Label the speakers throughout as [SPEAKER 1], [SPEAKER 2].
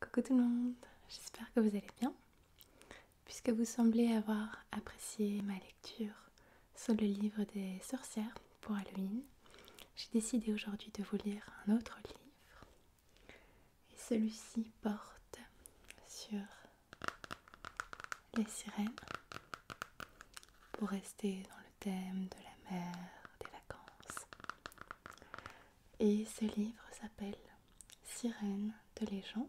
[SPEAKER 1] Coucou tout le monde, j'espère que vous allez bien. Puisque vous semblez avoir apprécié ma lecture sur le livre des sorcières pour Halloween, j'ai décidé aujourd'hui de vous lire un autre livre. Et celui-ci porte sur les sirènes pour rester dans le thème de la mer, des vacances. Et ce livre s'appelle Sirène de légende.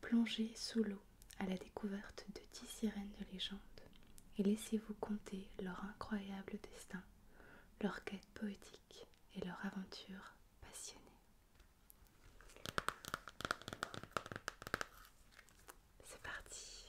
[SPEAKER 1] Plongez sous l'eau à la découverte de dix sirènes de légende et laissez-vous compter leur incroyable destin, leur quête poétique et leur aventure passionnée. C'est parti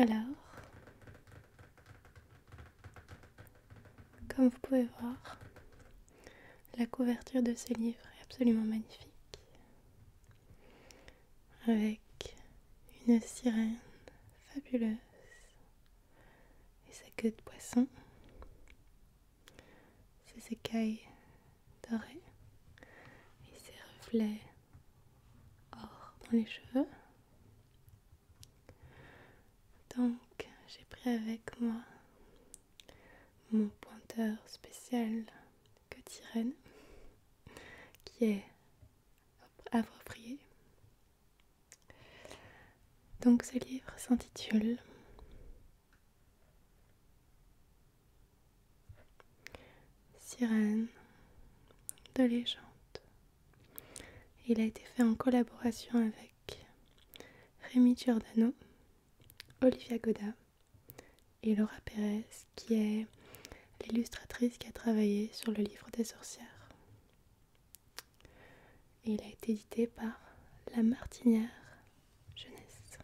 [SPEAKER 1] Alors, comme vous pouvez voir, la couverture de ce livre est absolument magnifique avec une sirène fabuleuse et sa queue de poisson, ses écailles dorées et ses reflets or dans les cheveux. Donc j'ai pris avec moi mon pointeur spécial que sirène qui est approprié Donc ce livre s'intitule Sirène de légende. Il a été fait en collaboration avec Rémi Giordano, Olivia Goda et Laura Pérez, qui est l'illustratrice qui a travaillé sur le livre des sorcières. il a été édité par La Martinière Jeunesse.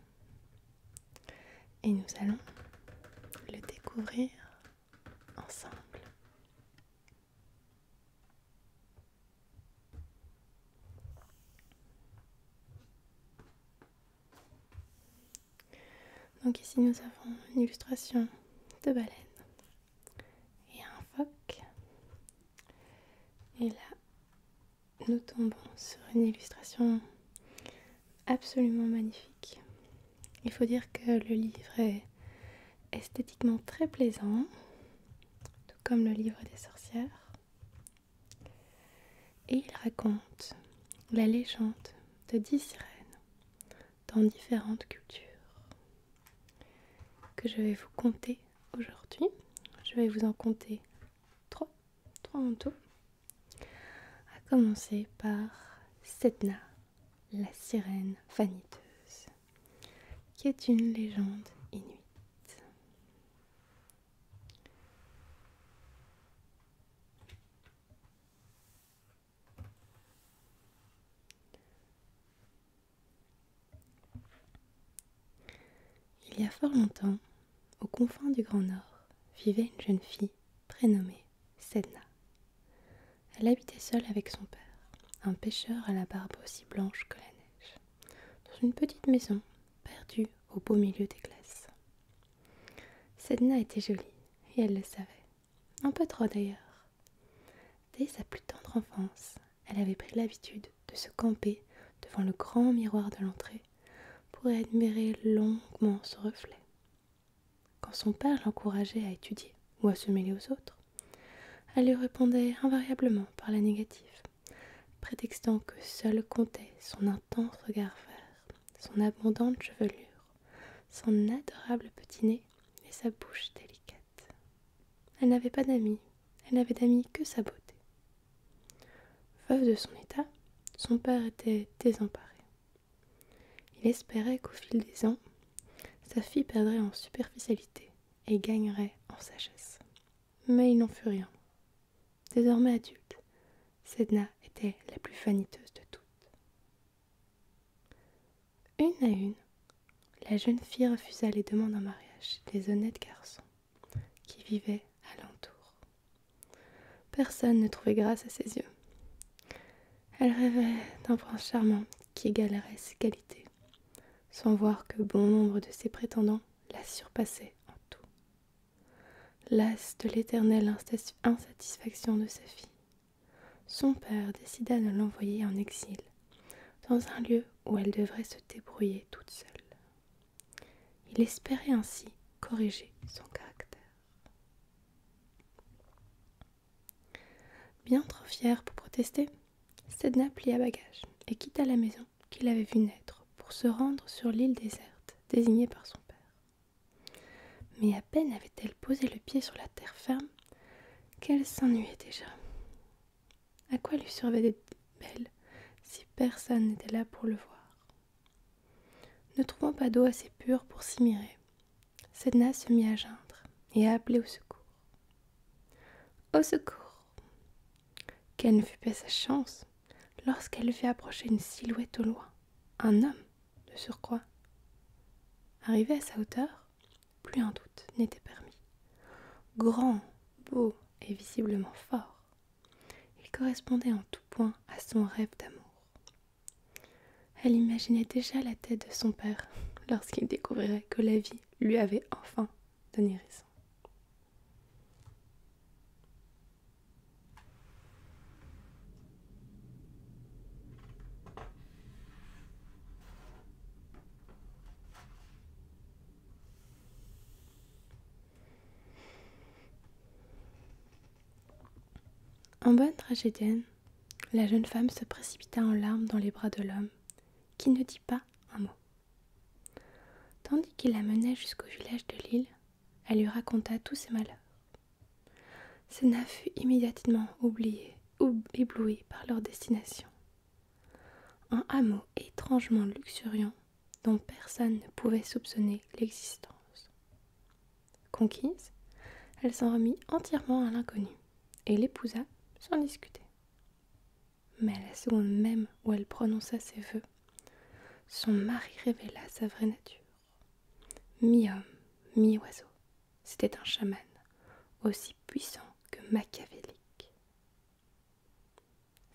[SPEAKER 1] Et nous allons le découvrir ensemble. Donc ici nous avons une illustration de baleine et un phoque. Et là, nous tombons sur une illustration absolument magnifique. Il faut dire que le livre est esthétiquement très plaisant, tout comme le livre des sorcières et il raconte la légende de dix sirènes dans différentes cultures que je vais vous conter aujourd'hui. Je vais vous en compter trois, trois en tout. À commencer par Setna, la sirène vaniteuse, qui est une légende inuite. Il y a fort longtemps, aux confins du Grand Nord, vivait une jeune fille prénommée Sedna. Elle habitait seule avec son père, un pêcheur à la barbe aussi blanche que la neige, dans une petite maison perdue au beau milieu des glaces. Sedna était jolie, et elle le savait. Un peu trop d'ailleurs. Dès sa plus tendre enfance, elle avait pris l'habitude de se camper devant le grand miroir de l'entrée pour admirer longuement son reflet. Quand son père l'encourageait à étudier ou à se mêler aux autres, elle lui répondait invariablement par la négative, prétextant que seule comptait son intense regard vert son abondante chevelure, son adorable petit nez et sa bouche délicate. Elle n'avait pas d'amis, elle n'avait d'amis que sa beauté. Veuve de son état, son père était désemparé. Il espérait qu'au fil des ans, sa fille perdrait en superficialité et gagnerait en sagesse. Mais il n'en fut rien. Désormais adulte, Sedna était la plus faniteuse de toutes. Une à une, la jeune fille refusa les demandes en mariage des honnêtes garçons qui vivaient alentour. Personne ne trouvait grâce à ses yeux. Elle rêvait d'un prince charmant qui égalerait ses qualités, sans voir que bon nombre de ses prétendants la surpassaient en tout. Las de l'éternelle insatisfaction de sa fille, son père décida de l'envoyer en exil, dans un lieu où elle devrait se débrouiller toute seule. Il espérait ainsi corriger son caractère. Bien trop fière pour protester, Sedna plia bagage et quitta la maison qu'il avait vue naître pour se rendre sur l'île déserte désignée par son père. Mais à peine avait-elle posé le pied sur la terre ferme qu'elle s'ennuyait déjà. À quoi lui servait d'être belle si personne n'était là pour le voir Ne trouvant pas d'eau assez pure pour s'y mirer, Sedna se mit à geindre et à appeler au secours. Au secours Quelle ne fut pas sa chance lorsqu'elle vit approcher une silhouette au loin, un homme de surcroît. Arrivé à sa hauteur, plus un doute n'était permis. Grand, beau et visiblement fort, il correspondait en tout point à son rêve d'amour. Elle imaginait déjà la tête de son père lorsqu'il découvrirait que la vie lui avait enfin donné raison. En bonne tragédienne, la jeune femme se précipita en larmes dans les bras de l'homme, qui ne dit pas un mot. Tandis qu'il la menait jusqu'au village de l'île, elle lui raconta tous ses malheurs. Sena fut immédiatement oubliée, ou éblouie par leur destination. Un hameau étrangement luxuriant dont personne ne pouvait soupçonner l'existence. Conquise, elle s'en remit entièrement à l'inconnu et l'épousa sans discuter. Mais à la seconde même où elle prononça ses vœux, son mari révéla sa vraie nature. Mi-homme, mi-oiseau, c'était un chaman, aussi puissant que machiavélique.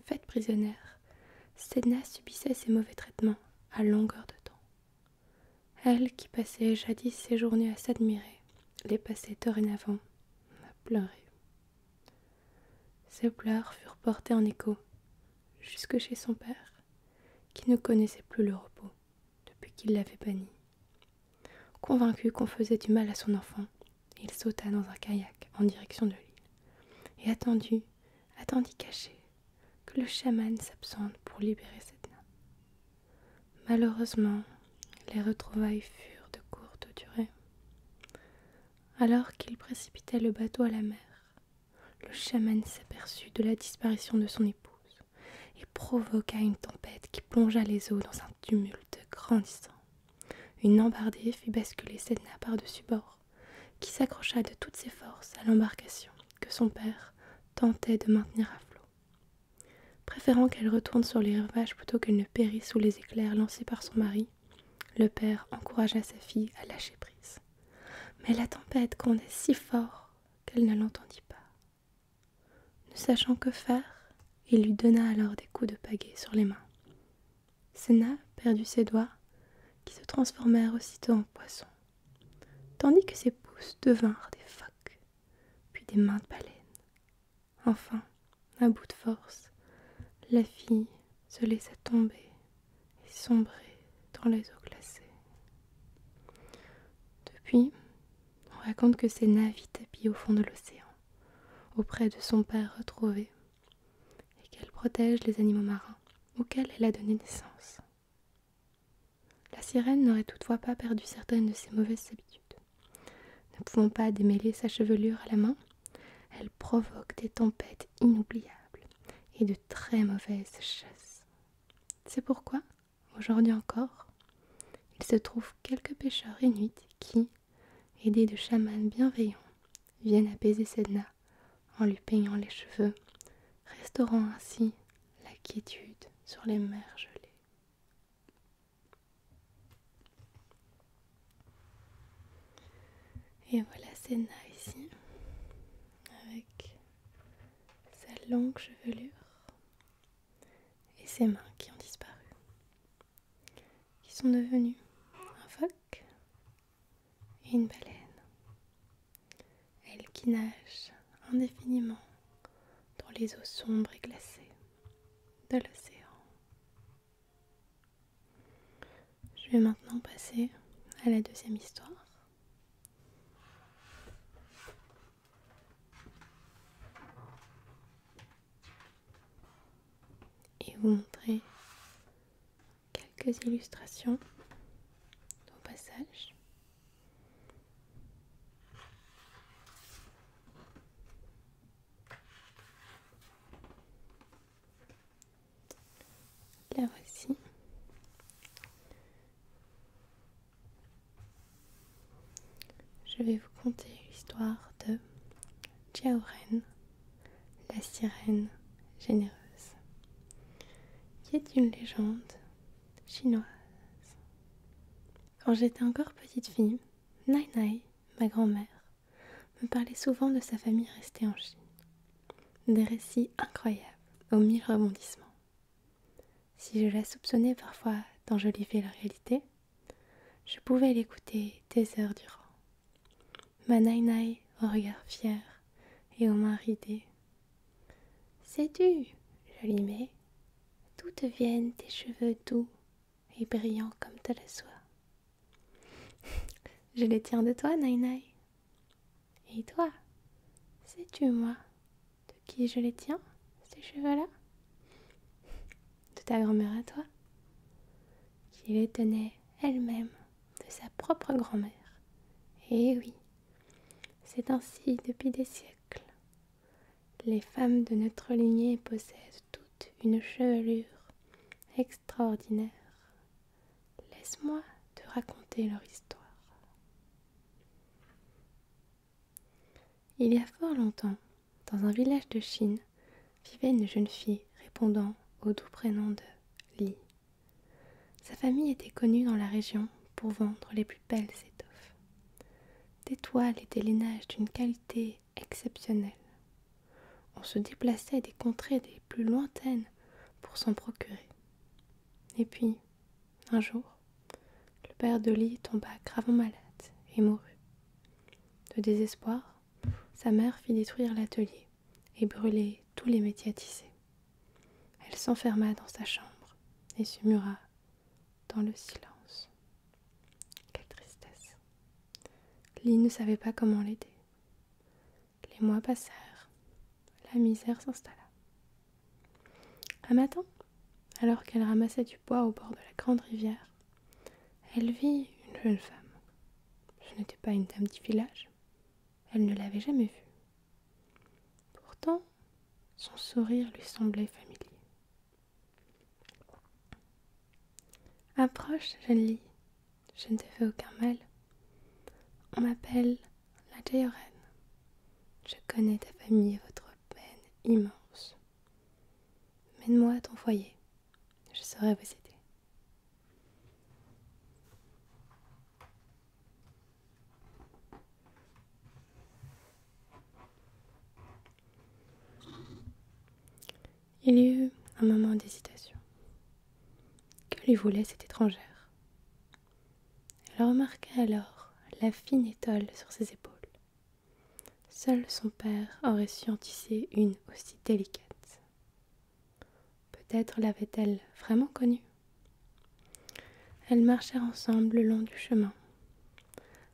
[SPEAKER 1] Faite prisonnière, Sedna subissait ses mauvais traitements à longueur de temps. Elle, qui passait jadis ses journées à s'admirer, les passait dorénavant à pleurer. Ses pleurs furent portées en écho jusque chez son père, qui ne connaissait plus le repos depuis qu'il l'avait banni. Convaincu qu'on faisait du mal à son enfant, il sauta dans un kayak en direction de l'île et attendit, attendit caché, que le chaman s'absente pour libérer cette nain. Malheureusement, les retrouvailles furent de courte durée. Alors qu'il précipitait le bateau à la mer, le chaman s'aperçut de la disparition de son épouse et provoqua une tempête qui plongea les eaux dans un tumulte grandissant. Une embardée fit basculer Sedna par-dessus bord, qui s'accrocha de toutes ses forces à l'embarcation que son père tentait de maintenir à flot. Préférant qu'elle retourne sur les rivages plutôt qu'elle ne périsse sous les éclairs lancés par son mari le père encouragea sa fille à lâcher prise. Mais la tempête grondait si fort qu'elle ne l'entendit pas. Ne sachant que faire, il lui donna alors des coups de pagaie sur les mains. Sénat perdit ses doigts, qui se transformèrent aussitôt en poissons, tandis que ses pouces devinrent des phoques, puis des mains de baleine. Enfin, à bout de force, la fille se laissa tomber et sombrer dans les eaux glacées. Depuis, on raconte que ses navis tapis au fond de l'océan, auprès de son père retrouvé, et qu'elle protège les animaux marins auxquels elle a donné naissance. La sirène n'aurait toutefois pas perdu certaines de ses mauvaises habitudes. Ne pouvant pas démêler sa chevelure à la main, elle provoque des tempêtes inoubliables et de très mauvaises chasses. C'est pourquoi, aujourd'hui encore, il se trouve quelques pêcheurs inuits qui, aidés de chamans bienveillants, viennent apaiser Sedna en lui peignant les cheveux, restaurant ainsi la quiétude sur les mers gelées. Et voilà Sena ici, avec sa longue chevelure et ses mains qui ont disparu, qui sont devenues un phoque et une baleine. Elle qui nage indéfiniment dans les eaux sombres et glacées de l'océan. Je vais maintenant passer à la deuxième histoire. Et vous montrer quelques illustrations au passage. La voici. Je vais vous conter l'histoire de Jiaoren, la sirène généreuse, qui est une légende chinoise. Quand j'étais encore petite fille, Nai Nai, ma grand-mère, me parlait souvent de sa famille restée en Chine. Des récits incroyables, aux mille rebondissements. Si je la soupçonnais parfois je d'enjoliver la réalité, je pouvais l'écouter des heures durant. Ma naï-naï au regard fier et aux mains ridées. Sais-tu, Jolimée, d'où te viennent tes cheveux doux et brillant comme de la soie. Je les tiens de toi, Nainai. Et toi, sais-tu, moi, de qui je les tiens, ces cheveux-là De ta grand-mère à toi, qui les tenait elle-même de sa propre grand-mère. Et eh oui, c'est ainsi depuis des siècles. Les femmes de notre lignée possèdent une chevelure extraordinaire. Laisse-moi te raconter leur histoire. Il y a fort longtemps, dans un village de Chine, vivait une jeune fille répondant au doux prénom de Li. Sa famille était connue dans la région pour vendre les plus belles étoffes. Des toiles et des linages d'une qualité Exceptionnel, On se déplaçait des contrées des plus lointaines pour s'en procurer. Et puis, un jour, le père de tomba gravement malade et mourut. De désespoir, sa mère fit détruire l'atelier et brûler tous les métiers Elle s'enferma dans sa chambre et se mura dans le silence. Quelle tristesse. Lee ne savait pas comment l'aider. Les mois passèrent. La misère s'installa. Un matin, alors qu'elle ramassait du bois au bord de la grande rivière, elle vit une jeune femme. Ce n'était pas une dame du village. Elle ne l'avait jamais vue. Pourtant, son sourire lui semblait familier. Approche, jeune fille, je ne te fais aucun mal. On m'appelle la Théorène. Je connais ta famille et votre peine immense. Mène-moi à ton foyer, je saurai vous aider. Il y eut un moment d'hésitation. Que lui voulait cette étrangère Elle remarqua alors la fine étole sur ses épaules. Seul son père aurait su en tisser une aussi délicate. Peut-être l'avait-elle vraiment connue. Elles marchèrent ensemble le long du chemin,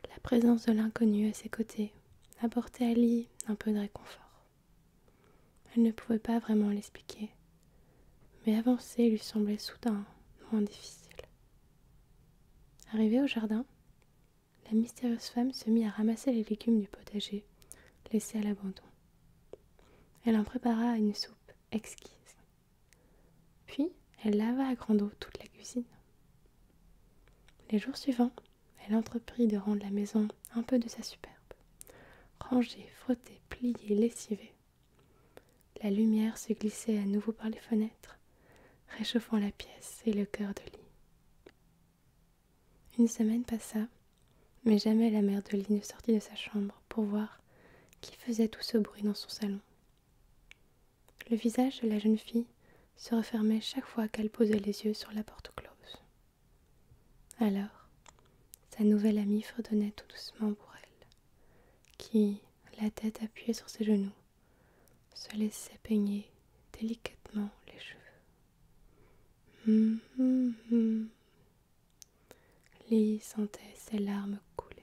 [SPEAKER 1] la présence de l'inconnu à ses côtés apportait à Lee un peu de réconfort. Elle ne pouvait pas vraiment l'expliquer, mais avancer lui semblait soudain moins difficile. Arrivée au jardin, la mystérieuse femme se mit à ramasser les légumes du potager, laissés à l'abandon. Elle en prépara une soupe exquise. Puis, elle lava à grande eau toute la cuisine. Les jours suivants, elle entreprit de rendre la maison un peu de sa superbe. Ranger, frotter, plier, lessiver. La lumière se glissait à nouveau par les fenêtres, réchauffant la pièce et le cœur de lit. Une semaine passa, mais jamais la mère de lit ne sortit de sa chambre pour voir qui faisait tout ce bruit dans son salon. Le visage de la jeune fille se refermait chaque fois qu'elle posait les yeux sur la porte close. Alors, sa nouvelle amie fredonnait tout doucement pour elle, qui, la tête appuyée sur ses genoux, se laissait peigner délicatement les cheveux. Hum, hum, hum. sentait ses larmes couler.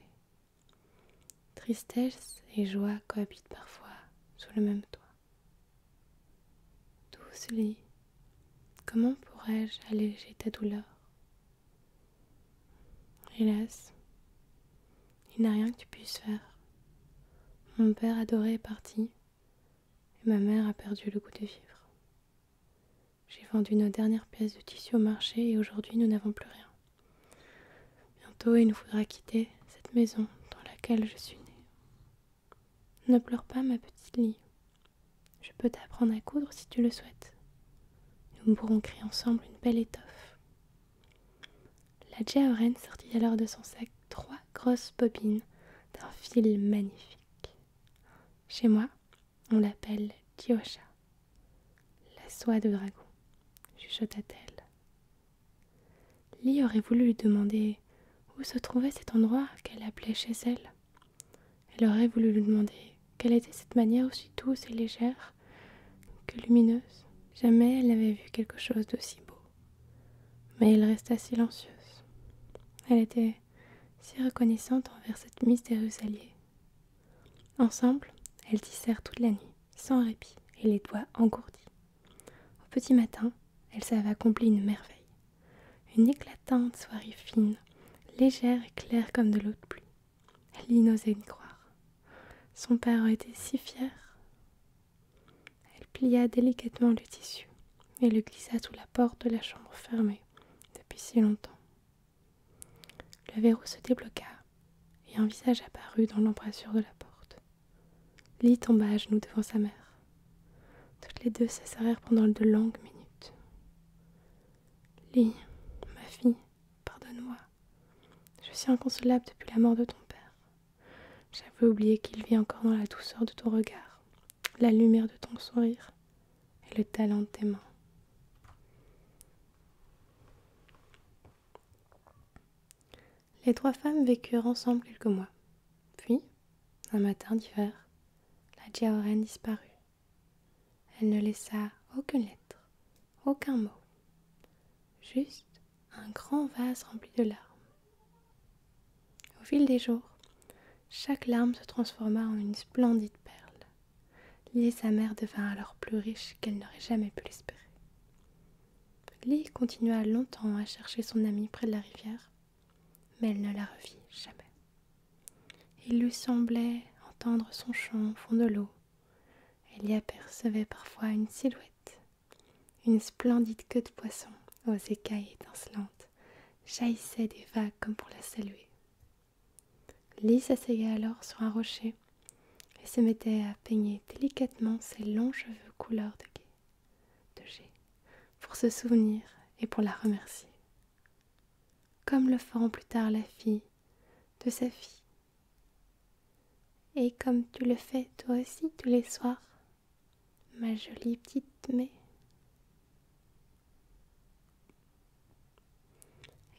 [SPEAKER 1] Tristesse et joie cohabitent parfois sous le même toit. Douce Comment pourrais-je alléger ta douleur Hélas, il n'y a rien que tu puisses faire. Mon père adoré est parti et ma mère a perdu le goût de vivre. J'ai vendu nos dernières pièces de tissu au marché et aujourd'hui nous n'avons plus rien. Bientôt il nous faudra quitter cette maison dans laquelle je suis née. Ne pleure pas, ma petite Lily. Je peux t'apprendre à coudre si tu le souhaites. Nous pourrons créer ensemble une belle étoffe. La Jaoren sortit alors de son sac trois grosses bobines d'un fil magnifique. Chez moi, on l'appelle Tiocha, la soie de dragon, chuchota-t-elle. Lily aurait voulu lui demander où se trouvait cet endroit qu'elle appelait chez elle. Elle aurait voulu lui demander quelle était cette manière aussi douce et légère que lumineuse. Jamais elle n'avait vu quelque chose d'aussi beau. Mais elle resta silencieuse. Elle était si reconnaissante envers cette mystérieuse alliée. Ensemble, elles tissèrent toute la nuit, sans répit, et les doigts engourdis. Au petit matin, elle s'avait accompli une merveille. Une éclatante soirée fine, légère et claire comme de l'eau de pluie. Elle n'osait y croire. Son père était si fier. Elle plia délicatement le tissu et le glissa sous la porte de la chambre fermée depuis si longtemps. Le verrou se débloqua et un visage apparut dans l'embrasure de la porte. Lee tomba à genoux devant sa mère. Toutes les deux serrèrent pendant de longues minutes. Lee, ma fille, pardonne-moi. Je suis inconsolable depuis la mort de ton père. J'avais oublié qu'il vit encore dans la douceur de ton regard, la lumière de ton sourire et le talent de tes mains. Les trois femmes vécurent ensemble quelques mois. Puis, un matin d'hiver, la Diaoren disparut. Elle ne laissa aucune lettre, aucun mot, juste un grand vase rempli de larmes. Au fil des jours, chaque larme se transforma en une splendide perle. et sa mère devint alors plus riche qu'elle n'aurait jamais pu l'espérer. Lily continua longtemps à chercher son amie près de la rivière, mais elle ne la revit jamais. Il lui semblait entendre son chant au fond de l'eau. Elle y apercevait parfois une silhouette, une splendide queue de poisson aux écailles étincelantes, jaillissait des vagues comme pour la saluer. Lily s'asseyait alors sur un rocher et se mettait à peigner délicatement ses longs cheveux couleur de, de jet pour se souvenir et pour la remercier. Comme le feront plus tard la fille de sa fille. Et comme tu le fais toi aussi tous les soirs, ma jolie petite mai.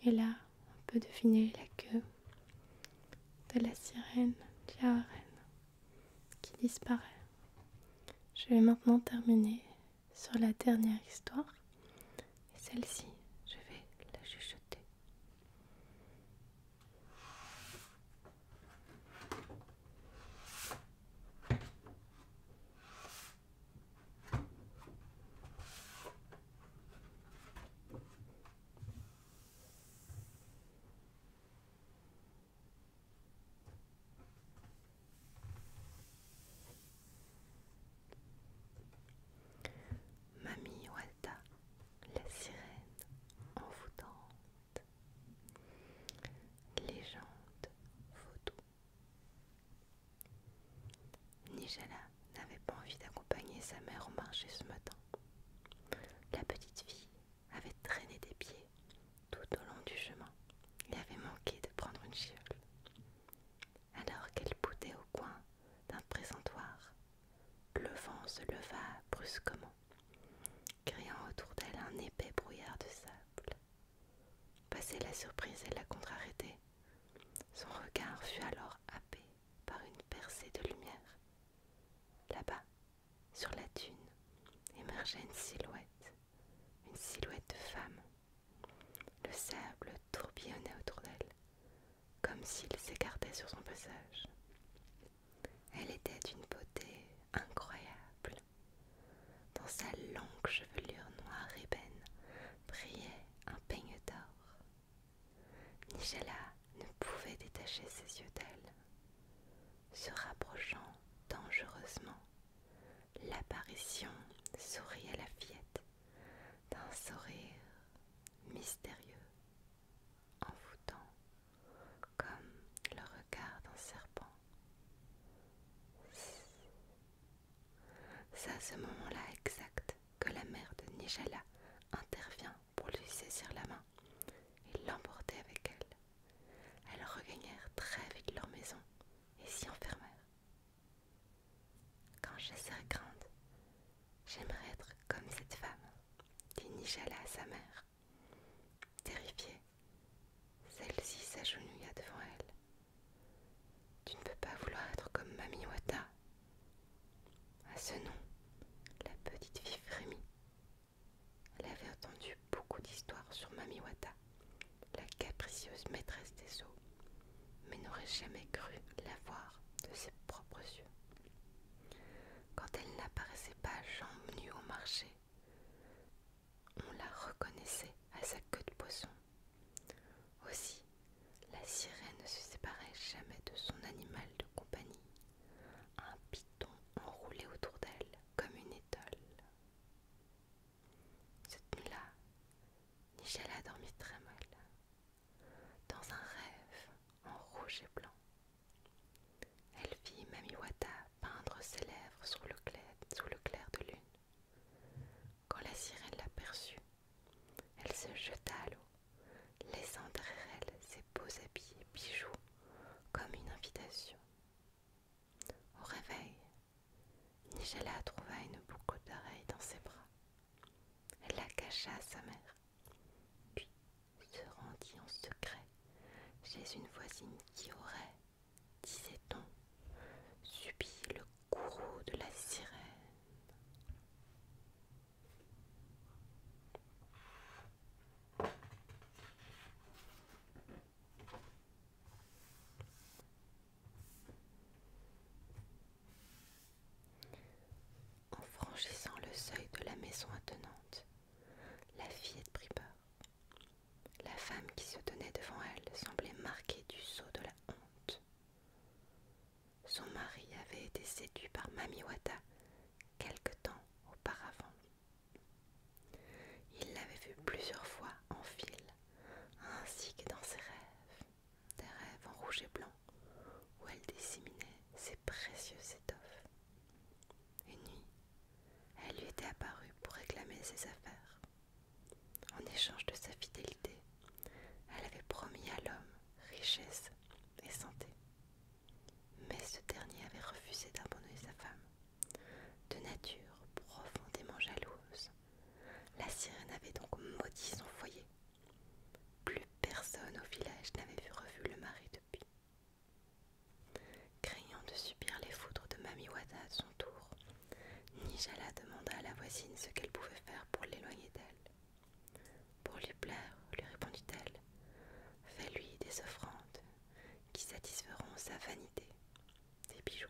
[SPEAKER 1] Et là, on peut deviner la queue de la sirène reine qui disparaît. Je vais maintenant terminer sur la dernière histoire. Et celle-ci, je vais la chuchoter. Mamie Walda, la sirène en envoûtante. Légende photo. Nigella n'avait pas envie d'accompagner sa mère au marché ce matin. La petite fille avait traîné des pieds tout au long du chemin et avait manqué de prendre une chiole. Alors qu'elle poutait au coin d'un présentoir, le vent se leva brusquement, créant autour d'elle un épais brouillard de sable. Passée la surprise et la contrariété, son regard fut alors happé par une percée de lumière. Là-bas, sur la dune, émergeait une silhouette, une silhouette de femme. Le sable tourbillonnait autour d'elle, comme s'il s'écartait sur son passage. Elle était d'une beauté incroyable. Dans sa longue chevelure noire ébène brillait un peigne d'or. Nigella ne pouvait détacher ses yeux d'elle. Se rapprochant dangereusement, l'apparition sourit à la fillette d'un sourire mystérieux, envoûtant, comme le regard d'un serpent. C'est à ce moment-là exact que la mère de Nijala intervient pour lui saisir la main et l'emporter avec elle. Elles regagnèrent très vite leur maison et s'y enfermèrent. Quand je serai grande, j'aimerais être comme cette femme, dit Nijala à sa mère. Terrifiée, celle-ci s'agenouilla devant elle. Tu ne peux pas vouloir être comme Mami à ce nom, la petite fille frémit. Elle avait entendu beaucoup d'histoires sur Mamiwata, la capricieuse maîtresse des eaux, mais n'aurait jamais cru la voir de ses propres yeux. Quand elle n'apparaissait pas jambes nues au marché, on la reconnaissait à sa queue de poisson aussi, la sirène ne se séparait jamais de son animal de compagnie, un python enroulé autour d'elle comme une étole. Cette nuit-là, Nichelle a dormi très mal, dans un rêve en rouge et blanc. Elle vit Mamiwata peindre ses lèvres sous le clair de lune. Quand la sirène l'aperçut, elle se jeta à l'eau, laissant derrière elle ses beaux habits et bijoux comme une invitation. Au réveil, Nigella trouva une boucle d'oreille dans ses bras. Elle la cacha à sa mère, puis se rendit en secret chez une voisine qui aurait, disait-on, subi le courroux de la sirène. En franchissant le seuil de la maison attenante, la fillette prit peur. La femme qui se tenait devant elle semblait marquée du sceau de la honte. Son mari avait été séduit par Mamiwata quelque temps auparavant. Il l'avait vue plusieurs fois en file, ainsi que dans ses rêves, des rêves en rouge et blanc, où elle disséminait ses précieuses étoffes. Une nuit, elle lui était apparue pour réclamer ses affaires. En échange de sa fidélité, elle avait promis à l'homme richesse et santé. Mais ce dernier avait refusé d'abandonner sa femme. De nature profondément jalouse, la sirène avait donc maudit son foyer. Plus personne au village n'avait vu revu le mari depuis. Craignant de subir les foudres de Mami à son tour, Nijala demanda à la voisine ce qu'elle pouvait faire pour l'éloigner d'elle. Pour lui plaire, lui répondit-elle, fais-lui des offrandes qui satisferont sa vanité, des bijoux,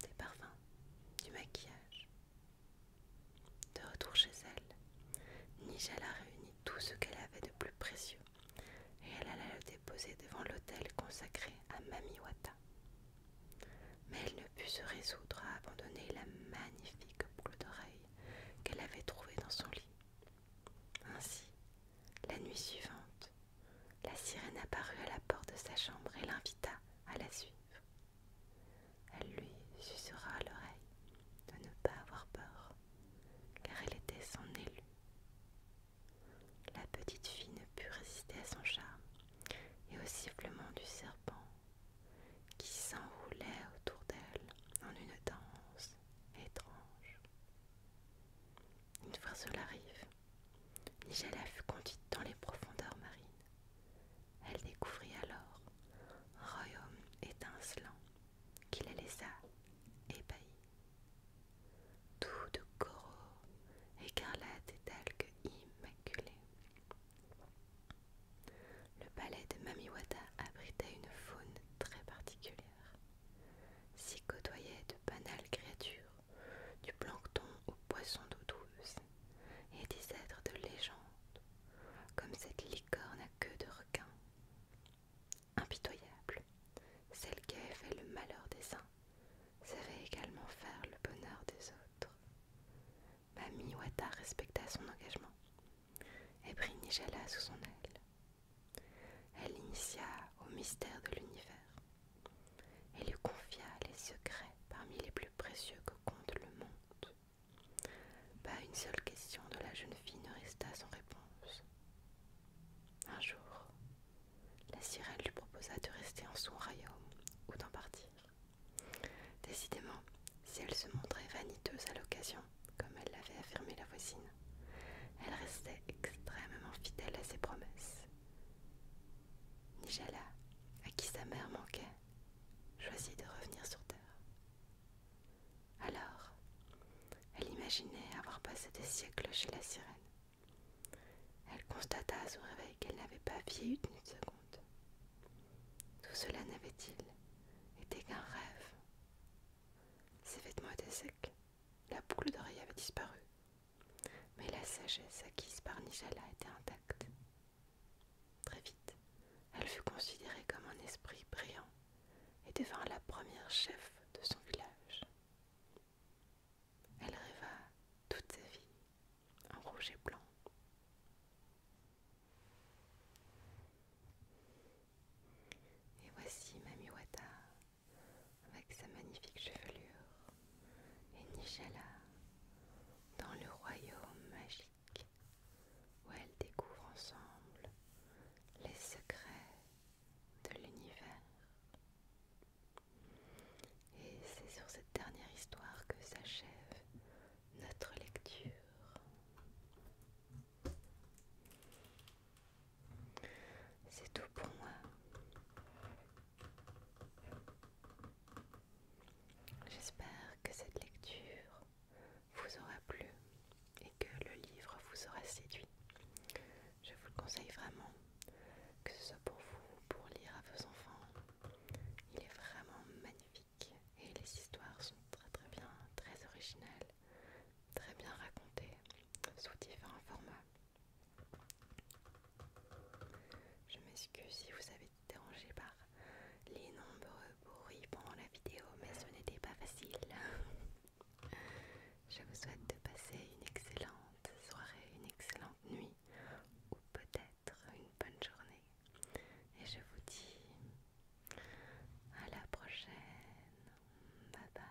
[SPEAKER 1] des parfums, du maquillage. De retour chez elle, Nijala réunit tout ce qu'elle avait de plus précieux et elle alla le déposer devant l'autel consacré à Mamiwata. Mais elle ne put se résoudre à abandonner la magnifique boule d'oreille qu'elle avait trouvée dans son lit. Ainsi, la nuit suivante, la sirène apparut à la porte de sa chambre et l'invita à la suivre. Elle lui sucera à l'oreille de ne pas avoir peur, car elle était son élue. La petite fille ne put résister à son charme et au sifflement du serpent qui s'enroulait autour d'elle en une danse étrange. Une fois sur la rive, Nigella fut conduite dans les profondeurs marines. Elle découvrit alors royaume étincelant qui la laissa ébahie. Tout de coraux, écarlate et d'algues immaculées, le palais de Mamiwata abritait une faune très particulière. S'y côtoyait de banales créatures, du plancton aux poissons d'eau douce, et des êtres de légende, comme cette licorne à queue de requin. Impitoyable, celle qui avait fait le malheur des saints, savait également faire le bonheur des autres. Mami Wata respecta son engagement et prit Nijala sous son aile. Elle l'initia au mystère de l'univers et lui confia les secrets parmi les plus précieux que compte le monde. Pas une seule question de la jeune fille ne resta sans réponse. Un jour, la sirène lui proposa de rester en son royaume ou d'en partir. Décidément, si elle se montrait vaniteuse à l'occasion, comme elle l'avait affirmé la voisine, elle restait extrêmement fidèle à ses promesses. Nigella, à qui sa mère manquait, choisit de revenir sur Terre. Alors, elle imaginait avoir passé des siècles chez la sirène, elle constata à son réveil qu'elle n'avait pas vieilli une seconde. Tout cela n'avait-il été qu'un rêve Ses vêtements étaient secs, la boucle d'oreille avait disparu, mais la sagesse acquise par Nijala était intacte. Très vite, elle fut considérée comme un esprit brillant et devint la première chef de son village. Elle rêva toute sa vie en rouge et blanc. Et voici Mami Wata avec sa magnifique chevelure et Nishala dans le royaume magique où elles découvrent ensemble les secrets de l'univers. Et c'est sur cette dernière histoire que s'achève notre lecture. C'est tout pour moi. J'espère que cette lecture vous aura plu et que le livre vous aura séduit. Je vous le conseille vraiment que ce soit pour vous, pour lire à vos enfants. Il est vraiment magnifique et les histoires sont très très bien, très originales, très bien racontées sous différents formats. Je m'excuse si vous avez été dérangé par les nombreux bruits pendant la vidéo, mais ce n'était pas facile. Je vous souhaite de passer une excellente soirée, une excellente nuit ou peut-être une bonne journée. Et je vous dis à la prochaine. Bye bye.